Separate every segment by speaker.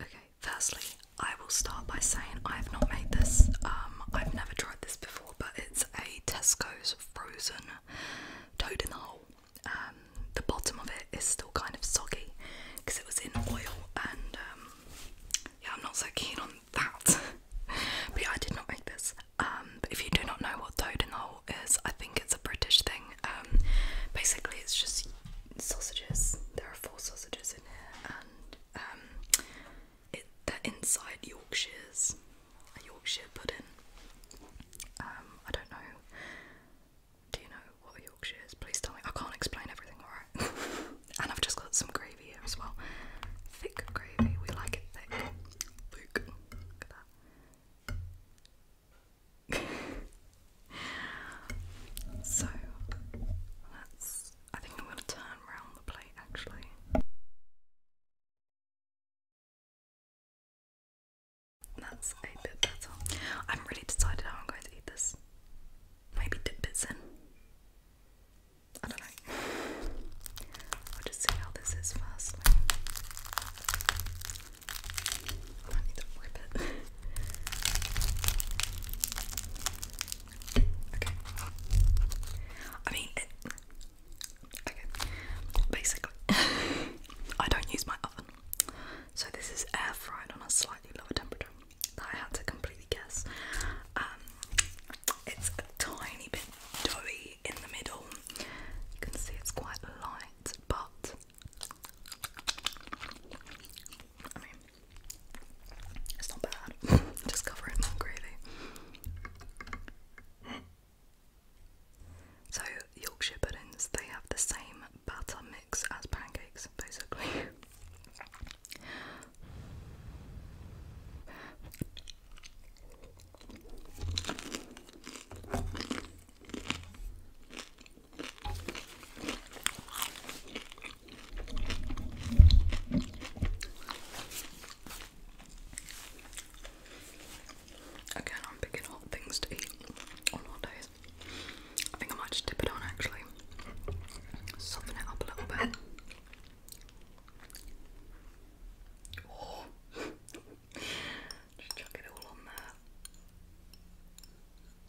Speaker 1: Okay, firstly, I will start by saying I have not made this. Um, I've never tried this before, but it's a Tesco's frozen toad in the hole. Um, the bottom of it is still kind of soggy because it was in oil, and um, yeah, I'm not so keen on that. but I did not make this. if you do not know what toad in the hole is, I think it's a British thing. basically, it's just sausages. There are four sausages in here, and um, it, they're inside Yorkshire's, a Yorkshire pudding. Um, I don't know. Do you know what Yorkshire is? Please tell me. I can't explain everything, alright? and I've just got some gravy here as well. Thick gravy. We like it thick. Look so let I think I'm going to turn around the plate actually. That's a bit better. I haven't really decided how I'm going to eat this. Maybe dip bits in. I don't know. I'll just see how this is firstly. I need to rip it. I mean, okay. Basically, I don't use my oven, so this is air fried on a slightly lower temperature that I had to completely guess. Um, it's a tiny bit doughy in the middle. You can see it's quite light, but it's not bad. Just cover it in gravy. So Yorkshire puddings, they have the same batter mix as pancakes, basically. Again, I'm picking hot things to eat on hot I think I might just dip it on actually, soften it up a little bit. Oh. just chuck it all on there.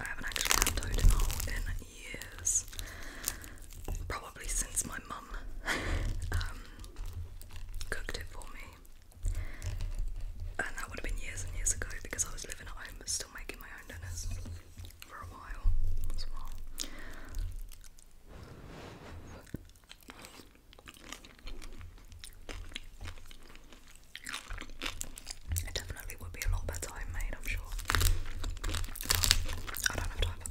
Speaker 1: I haven't actually had Toadinol in years. Probably since my mum um, cooked it for me. And that would have been years and years ago because I was living at home still making my own dinners for a while as well. It definitely would be a lot better homemade, I'm sure. I don't have time for that.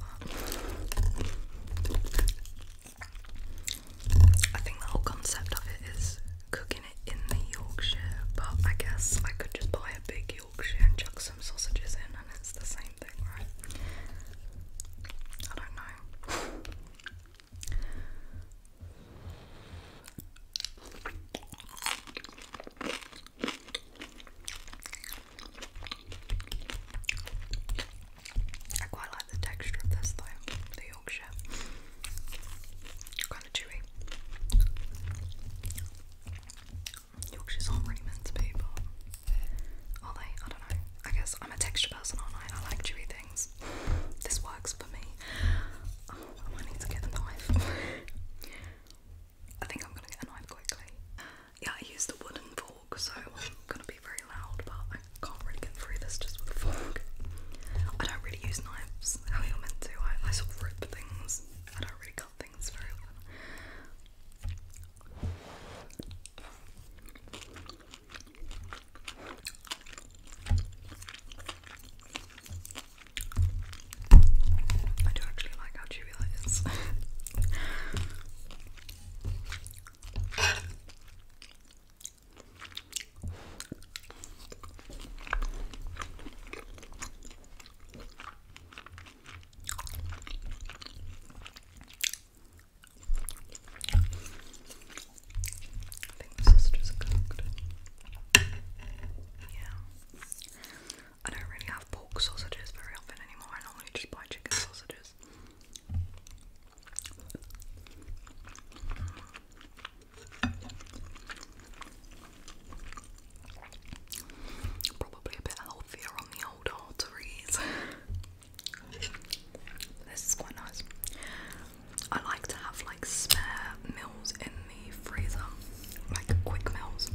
Speaker 1: I think the whole concept of it is cooking it in the Yorkshire, but I guess I could just buy a big Yorkshire and chuck some sausages in, and it's the same thing, right? I don't know. I quite like the texture of this though, the Yorkshire. Kind chewy. Yorkshire's aren't really meant to be, but are they? I don't know. I guess I'm a texture person, aren't I? I like chewy things. This works for me. Oh, I might need to get a knife. I think I'm gonna get annoyed quickly. Yeah, I use the wooden fork, so I'm gonna be very loud, but I can't really get through this just with a fork. I don't really use knives how you meant to. I, I sort of rip things. I don't really cut things very often. I do actually like how chewy that is. I think the sisters are Yeah. I don't really have pork sausages very often anymore. I normally just buy chicken sausages. Probably a bit healthier on the old arteries. this is quite nice. I like to have like spare meals in the freezer, like quick meals.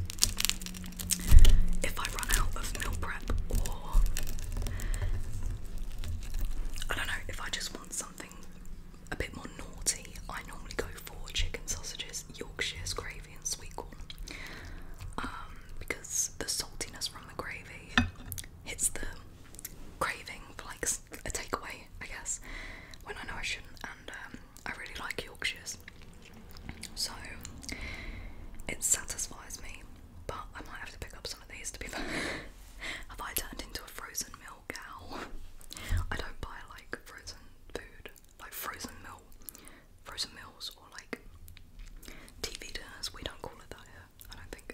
Speaker 1: If I run out of meal prep, or I don't know, if I just want something a bit more naughty, I normally go for chicken sausages, Yorkshire's gravy, and sweetcorn um, because the saltiness from the gravy hits the craving for like a takeaway, I guess, when I know I shouldn't, um, I really like Yorkshires, so it satisfies me. But I might have to pick up some of these to be fair. have I turned into a frozen milk cow? I don't buy like frozen food, like frozen milk, frozen meals, or like TV dinners. We don't call it that here. I don't think.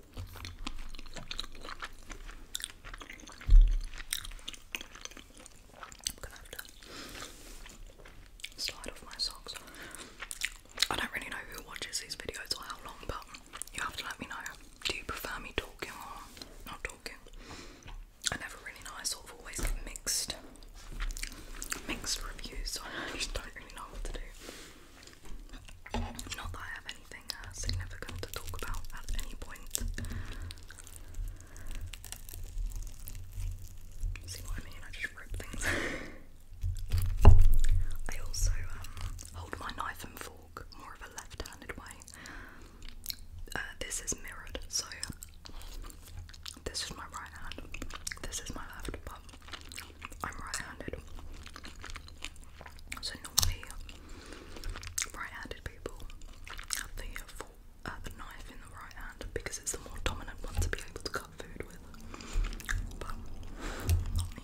Speaker 1: i don't really know who watches these videos or how long, but you have to let me know. Do you prefer me talking or not talking? I never really know, I sort of always get mixed mixed reviews, so I just don't really know what to do. Not that I have anything uh, significant to talk about at any point. See what I mean? I just rip things. I also um, hold my knife and fork more of a left-handed way. Uh, this is mirrored, so this is my right hand. This is my left, but I'm right-handed. So normally right-handed people have uh, uh, the knife in the right hand because it's the more dominant one to be able to cut food with. But not me.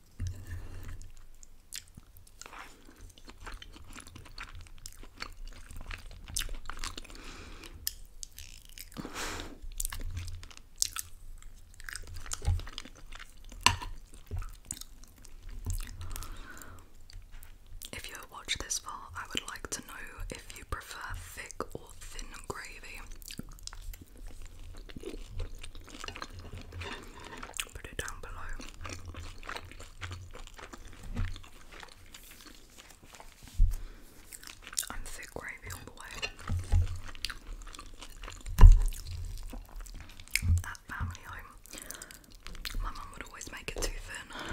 Speaker 1: If you have watched this far, I would like to know if you prefer thick or thin gravy. Put it down below. I'm thick gravy all the way. At family home, my mum would always make it too thin.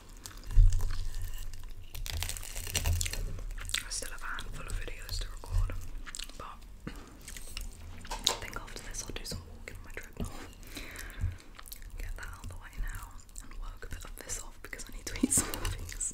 Speaker 1: I still have a handful of videos to record, but I think after this I'll do some walking on my treadmill. Get that out the way now and work a bit of this off because I need to eat some things videos.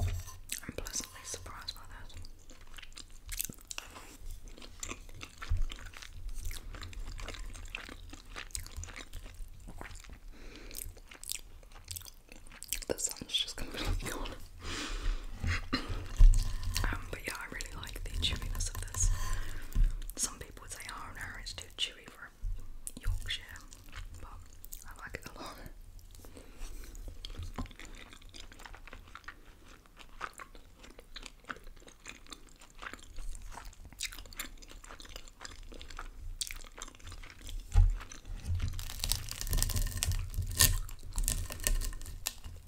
Speaker 1: I'm pleasantly surprised by that. The sun's just completely gone. Um, but yeah, I really like the chewiness of this. Some people would say, oh no, it's too chewy for a Yorkshire, but I like it a lot.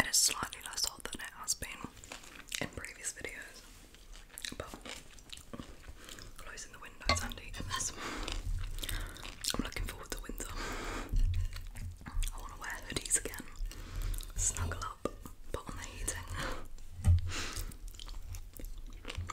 Speaker 1: It is slightly less hot than it has been in previous videos, but closing the window, and I'm looking forward to winter. I want to wear hoodies again, snuggle up, put on the heating.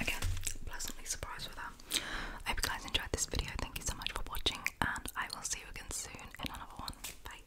Speaker 1: Again, pleasantly surprised with that. I hope you guys enjoyed this video. Thank you so much for watching, and I will see you again soon in another one. Bye.